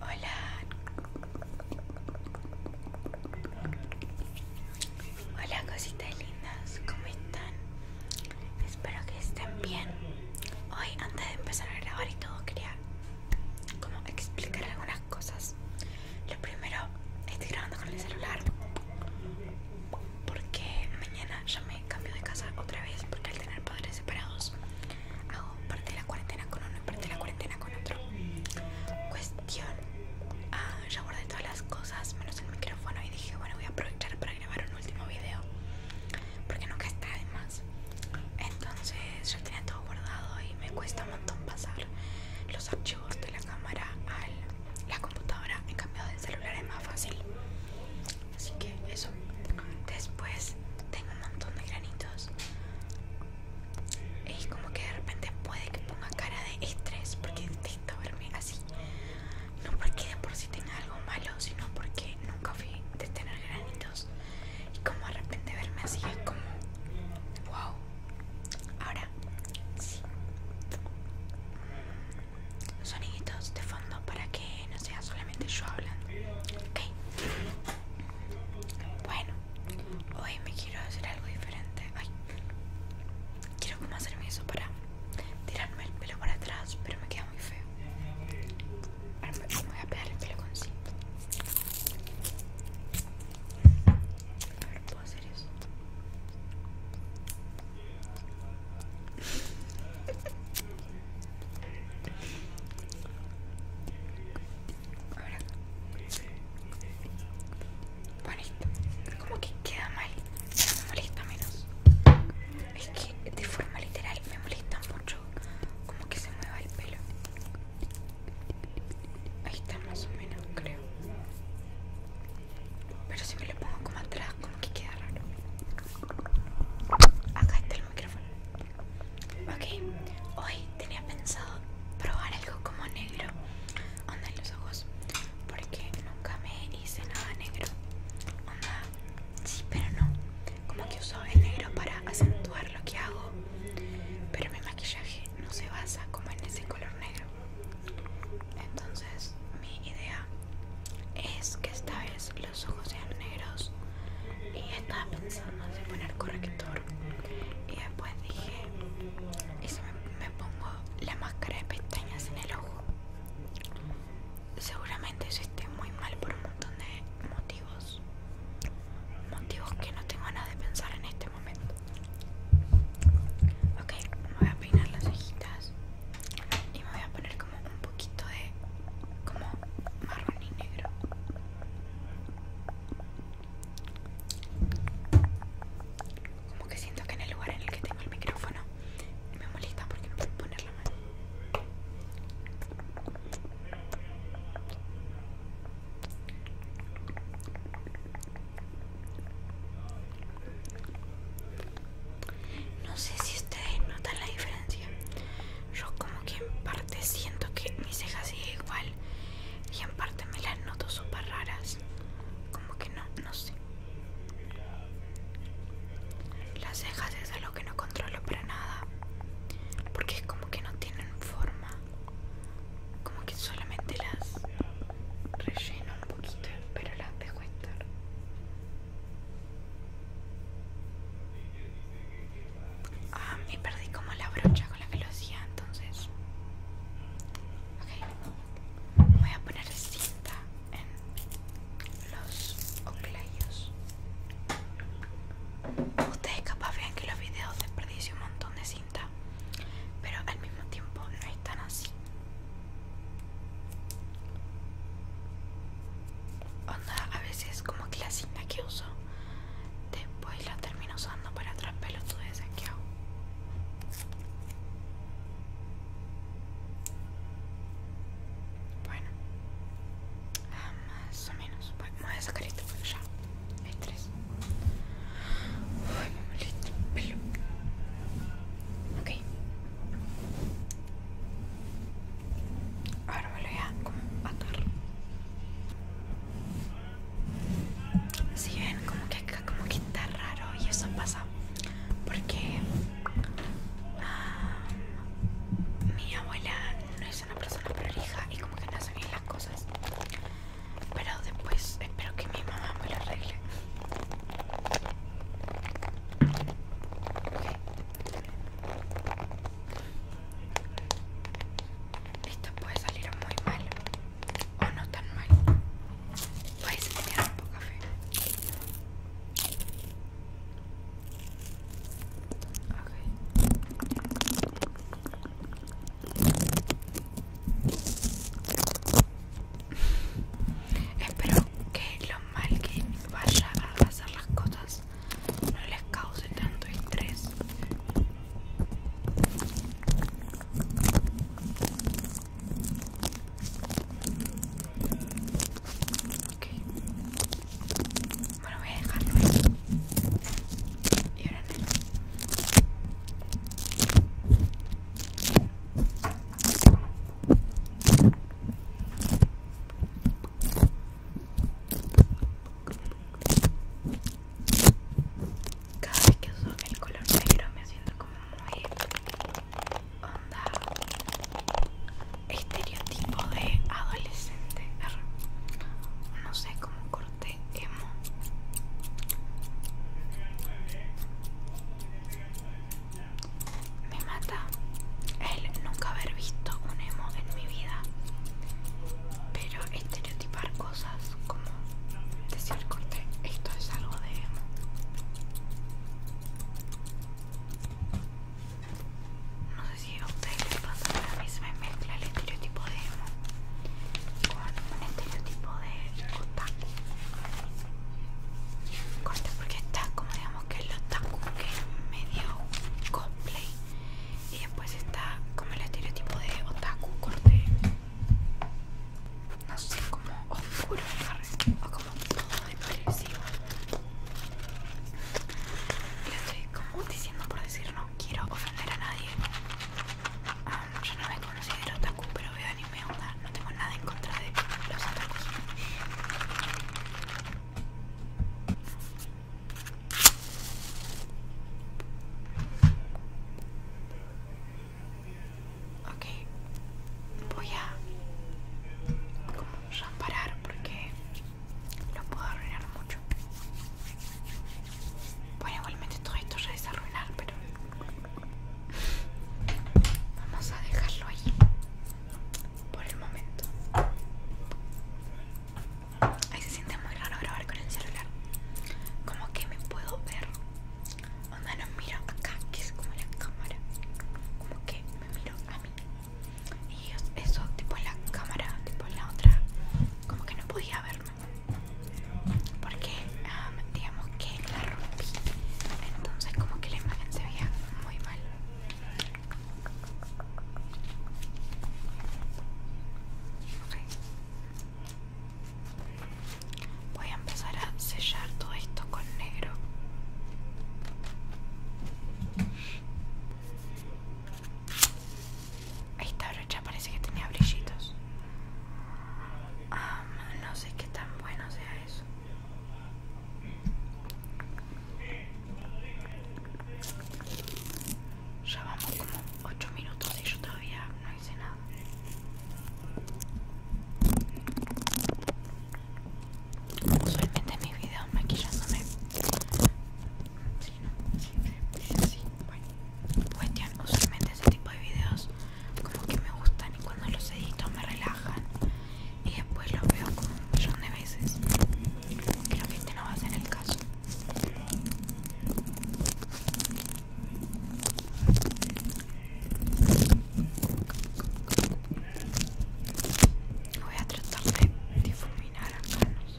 Hola. Hola cositas lindas, ¿cómo están? Espero que estén bien. Hoy antes de empezar a grabar y todo quería como explicar algunas cosas. Lo primero, estoy grabando con el celular porque mañana ya me cambio de casa otra vez porque al tener padres separados hago parte de la cuarentena con uno y parte de la cuarentena con otro. Cuestión, ah, ya guardé todas las cosas menos el micrófono y dije, bueno, voy a aprovechar para grabar un último video porque nunca está de más. Entonces, ya tenía todo guardado y me cuesta un montón pasar los archivos de la cámara a la computadora. En cambio, del celular es más fácil así que eso después tengo un montón de granitos y como que de repente puede que ponga cara de estrés porque intento verme así no porque de por sí tenga algo malo sino porque nunca fui de tener granitos y como de repente verme así es como wow ahora sí soniditos de fondo para que no sea solamente yo hablando ok bueno, hoy me quiero hacer algo diferente. Ay, quiero como hacerme eso para tirarme el pelo para atrás, pero me queda muy feo. Ahora me voy a pegar el pelo con cinta. A ver, hacer eso. Ahora. Bonito. Como que queda mal, me molesta menos. Es que de forma literal me molesta mucho como que se mueva el pelo. Ahí está más o menos, creo. Pero si me lo pongo como atrás, como que queda raro. Acá está el micrófono. Ok, hoy tenía pensado probar algo como negro Onda en los ojos Porque nunca me hice nada negro Onda, sí, pero no Como que uso el negro para acentuar lo que hago Pero mi maquillaje no se basa como en ese color negro Entonces mi idea es que esta vez los ojos sean negros y estaba pensando en poner corrector y después dije y me, pongo la máscara de pestañas en el ojo seguramente eso esté muy mal por un montón de motivos motivos que no tengo nada de pensar en este momento ok me voy a peinar las cejitas y me voy a poner como un poquito de como marrón y negro como que siento que en el lugar en el que tengo el micrófono me molesta porque no puedo poner la mano no sé si ustedes notan la diferencia yo como que en parte siento que mis cejas siguen igual y en parte me las noto súper raras como que no, no sé las cejas es algo que no controlo para nada porque es como que no tienen forma como que solamente las relleno un poquito pero las dejo estar Ah, me perdí como la brocha con la que lo hacía entonces. Voy a poner cinta en los oclayos. Ustedes capaz vean que los videos desperdicie un montón de cinta, pero al mismo tiempo no tan así onda a veces como que la cinta que uso después la termino usando para otras pelotudeces que hago bueno ah, más o menos bueno, me voy a sacar esto ya hay tres Uy, me el pelo ok Ahora me lo voy a como atar. Si ven, como que acá que está raro y eso pasa porque ah, mi abuela no es una persona prorija y como que no hace bien las cosas. Pero después espero que mi mamá me lo arregle. Ok esto puede salir muy mal o no tan mal. a tener un poco café. Espero que lo mal que vaya a hacer las cosas no les cause tanto estrés. Okay. Bueno, voy a dejarlo ahí. Y ahora cada vez que uso el color negro me siento como muy onda estereotipo de adolescente. No sé cómo corté emo. Me mata el nunca haber visto un emo en mi vida. Pero estereotipar cosas como decir corte, esto es algo de emo. No sé si a ustedes les pasa, la a mezcla el estereotipo de emo con un estereotipo de otaku. Corte porque está como digamos que es el otaku que es medio cosplay y después está como el estereotipo de otaku corte no sé como oscuro o como todo y y estoy como diciendo por decir no quiero ofender a nadie ah, yo no me considero otaku pero veo anime onda no tengo nada en contra de los otakus Ok, voy a como parar porque lo puedo arruinar mucho. Bueno, igualmente todo esto ya es arruinar, pero vamos a dejarlo ahí por el momento. Ahí se siente muy raro grabar con el celular. Como que me puedo ver. Onda no miro acá, que es como la cámara. Como que me miro a mí. Y eso, tipo la cámara, tipo la otra, como que no podía verme. Porque, digamos que la rompí. Entonces como que la imagen se veía muy mal. Voy a empezar a sellar todo esto con negro. Esta brocha parece que tenía brillitos. Ah, no sé qué tan bueno sea eso. Ya vamos como 8 minutos y yo todavía no hice nada. Usualmente mis videos maquillándome. Si no, siempre dice así. Bueno, cuestión, usualmente ese tipo de videos como que me gustan y cuando los edito me relajan y después lo veo como un millón de veces. Creo que este no va a ser el caso. Voy a tratar de difuminar a manos.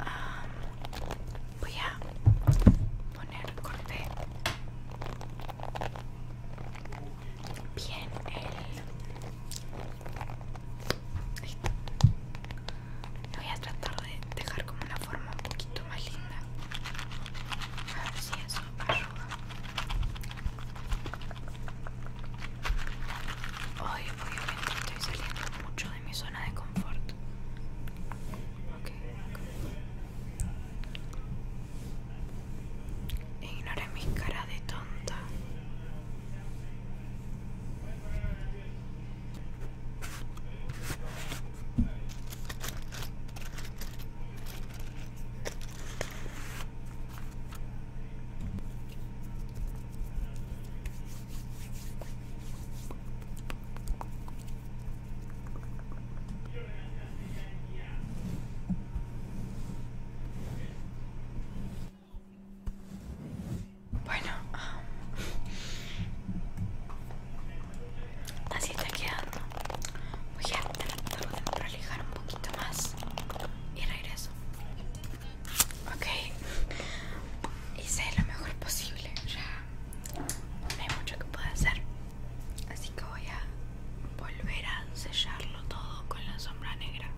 Um, voy a poner corte bien el... voy a tratar de dejar como una forma un poquito más linda. A ver si eso Hoy obviamente estoy saliendo mucho de mi zona de confort. Okay, mi cara de tonta. Bueno, um, así te quedando. Voy a tratar un poquito más y regreso. Ok, hice lo mejor posible. Ya no hay mucho que pueda hacer. Así que voy a volver a sellarlo todo con la sombra negra.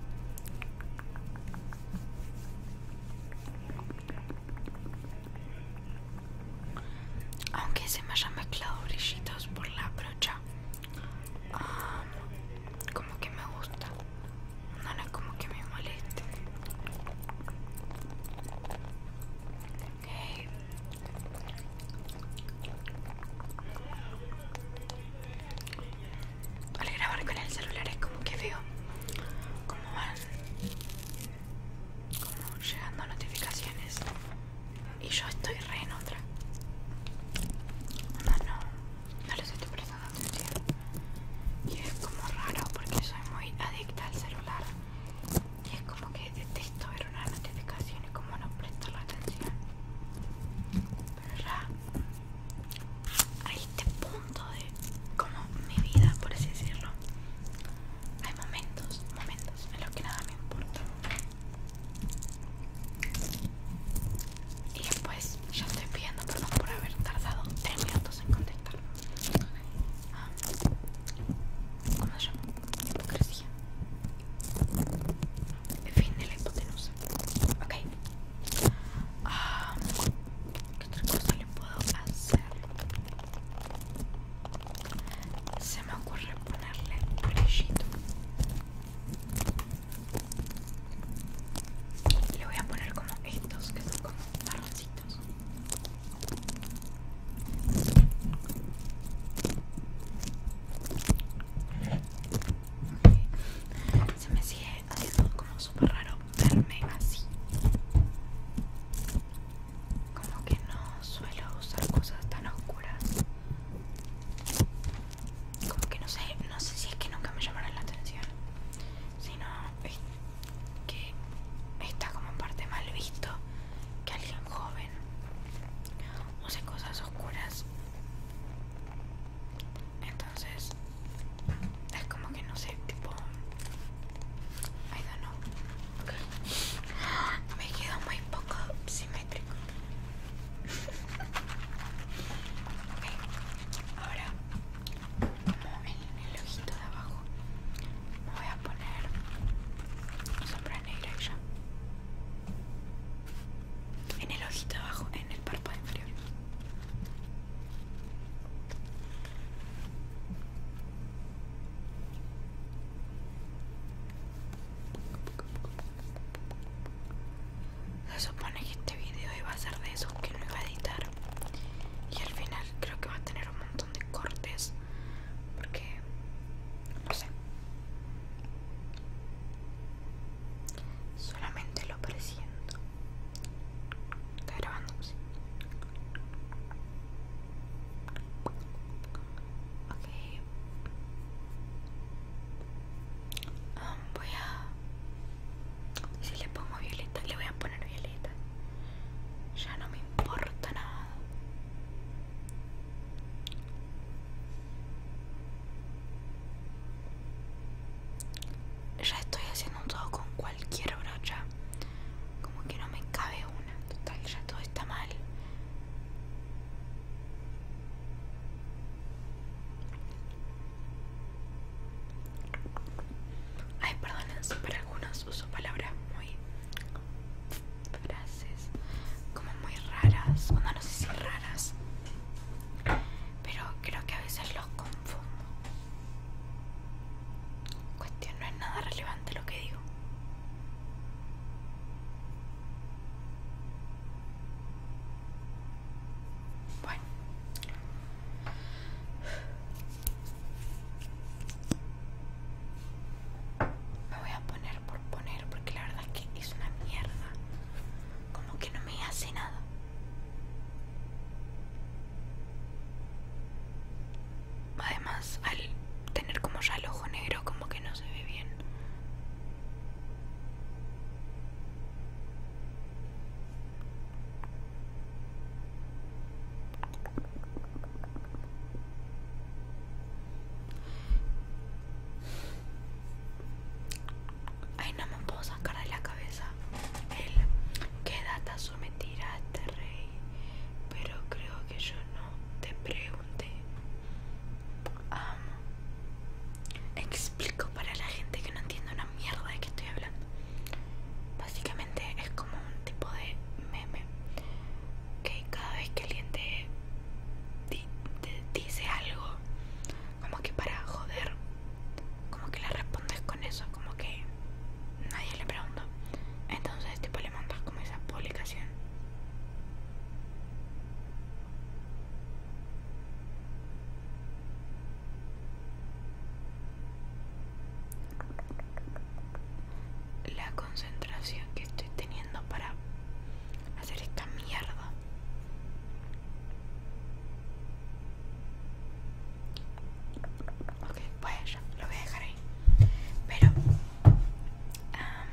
Aunque se me hayan mezclado brillitos por la brocha, Ah, como que me gusta no, no es como que me moleste al grabar con el celular es como que veo como van como llegando notificaciones y yo estoy re en otra. No, no, no les estoy prestando atención. Y es como raro porque soy muy adicta al celular. Y es como que detesto ver una notificación y como no presto la atención. Pero ya a este punto de como mi vida, por así decirlo, hay momentos, momentos en los que nada me importa. Y después pues, ya estoy pidiendo perdón por haber tardado 10 minutos en contestar. Ah, ¿Cómo se llama? Hipocresía. fin de la hipotenusa. Ok. Ah, ¿Qué otra cosa le puedo hacer? Se me ocurre ponerle brillito. Y Le voy a poner como estos que son como marroncitos. Se me sigue haciendo como súper raro verme así. Como que no suelo usar cosas tan oscuras como que no sé, no sé si es que nunca me llamaron la atención, sino que está como parte mal visto que alguien joven use cosas oscuras. Entonces, es como que no sé, tipo. I don't know. Me quedo muy poco simétrico ok, ahora en el ojito de abajo me voy a poner sombra negra ya en el ojito de abajo, en el párpado inferior se supone que este video iba a ser de esos que no iba a editar. Y al final creo que va a tener un montón de cortes. Porque... No sé. Solamente lo presiento. Está grabando, este, voy a... Si le pongo violeta, le voy a poner violeta. Ya no me importa nada. Ya estoy haciendo un todo con cualquier brocha. Como que no me cabe una. Total, ya todo está mal. Ay, perdonen para algunos uso palabras muy frases como muy raras, no, no sé si raras, pero creo que a veces los confundo. Cuestión no es nada relevante lo que digo. Bueno. Me voy a poner por poner porque la verdad es que es una mierda. Como que no me hace nada. Además, al tener como ya el ojo negro, como que no se ve bien. Ay, no me puedo sacar de la cabeza el que data su a este rey. Pero creo que yo no te pregunto explico para la gente que no entiende una mierda de qué estoy hablando. Básicamente es como un tipo de meme que cada vez que alguien te, dice algo, como que para joder, como que le respondes con eso, como que nadie le pregunta Entonces, tipo, le mandas como esa publicación la concentración que estoy teniendo para hacer esta mierda. Ok, pues ya, lo voy a dejar ahí. Pero... Ah,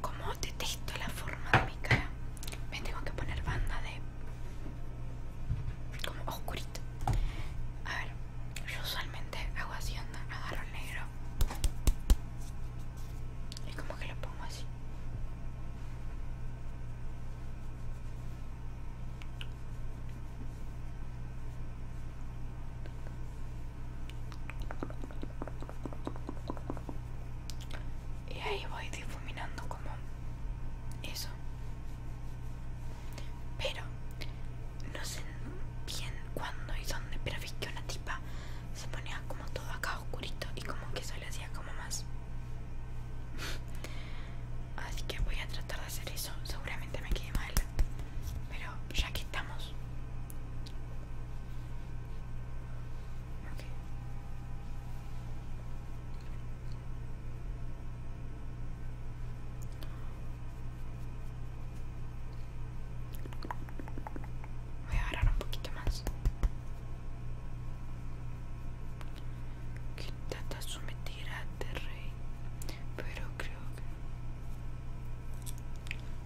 como detesto la forma de mi cara, me tengo que poner banda de. como oscurita A ver, yo usualmente hago así: onda, agarro negro y como que lo pongo así. Y ahí voy difuminando como eso. Pero no sé bien cuándo y dónde, pero vi que una tipa se ponía como todo acá oscurito y como que eso le hacía como más. Así que voy a tratar de hacer eso. Seguramente me quede mal. Pero ya que estamos, Voy a agarrar un poquito más. Que trata someter a rey, pero creo que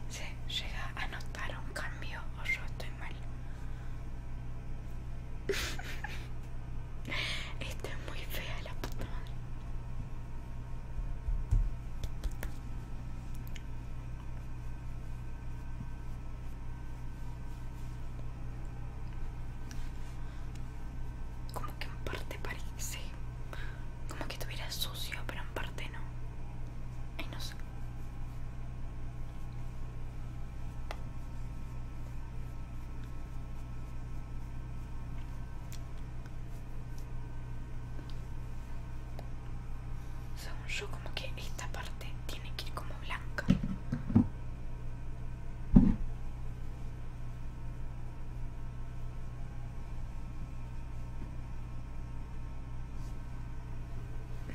se llega a notar un cambio o yo estoy mal. es muy fea la puta madre. Como que en parte parece como que estuviera sucio, pero en parte no. y no sé. Según yo, como que esta parte tiene que ir como blanca.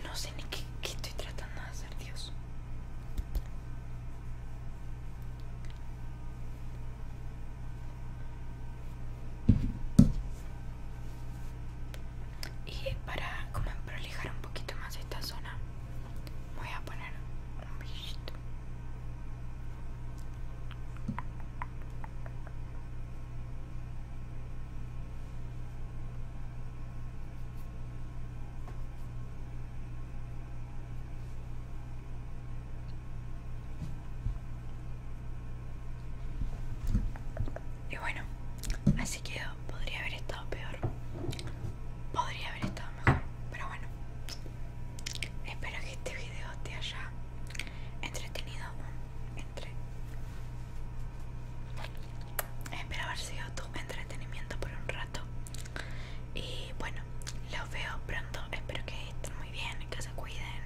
No sé ni qué, estoy tratando de hacer, Dios. Y para como prolijar un poquito más esta zona, voy a poner un brillito. Y bueno, así quedó. Podría haber estado peor. Podría haber estado mejor. Pero bueno. Espero que este video te haya entretenido espero haber sido tu entretenimiento por un rato y bueno los veo pronto espero que estén muy bien que se cuiden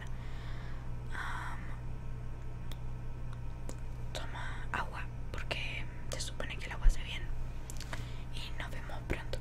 toma agua porque se supone que el agua hace bien y nos vemos pronto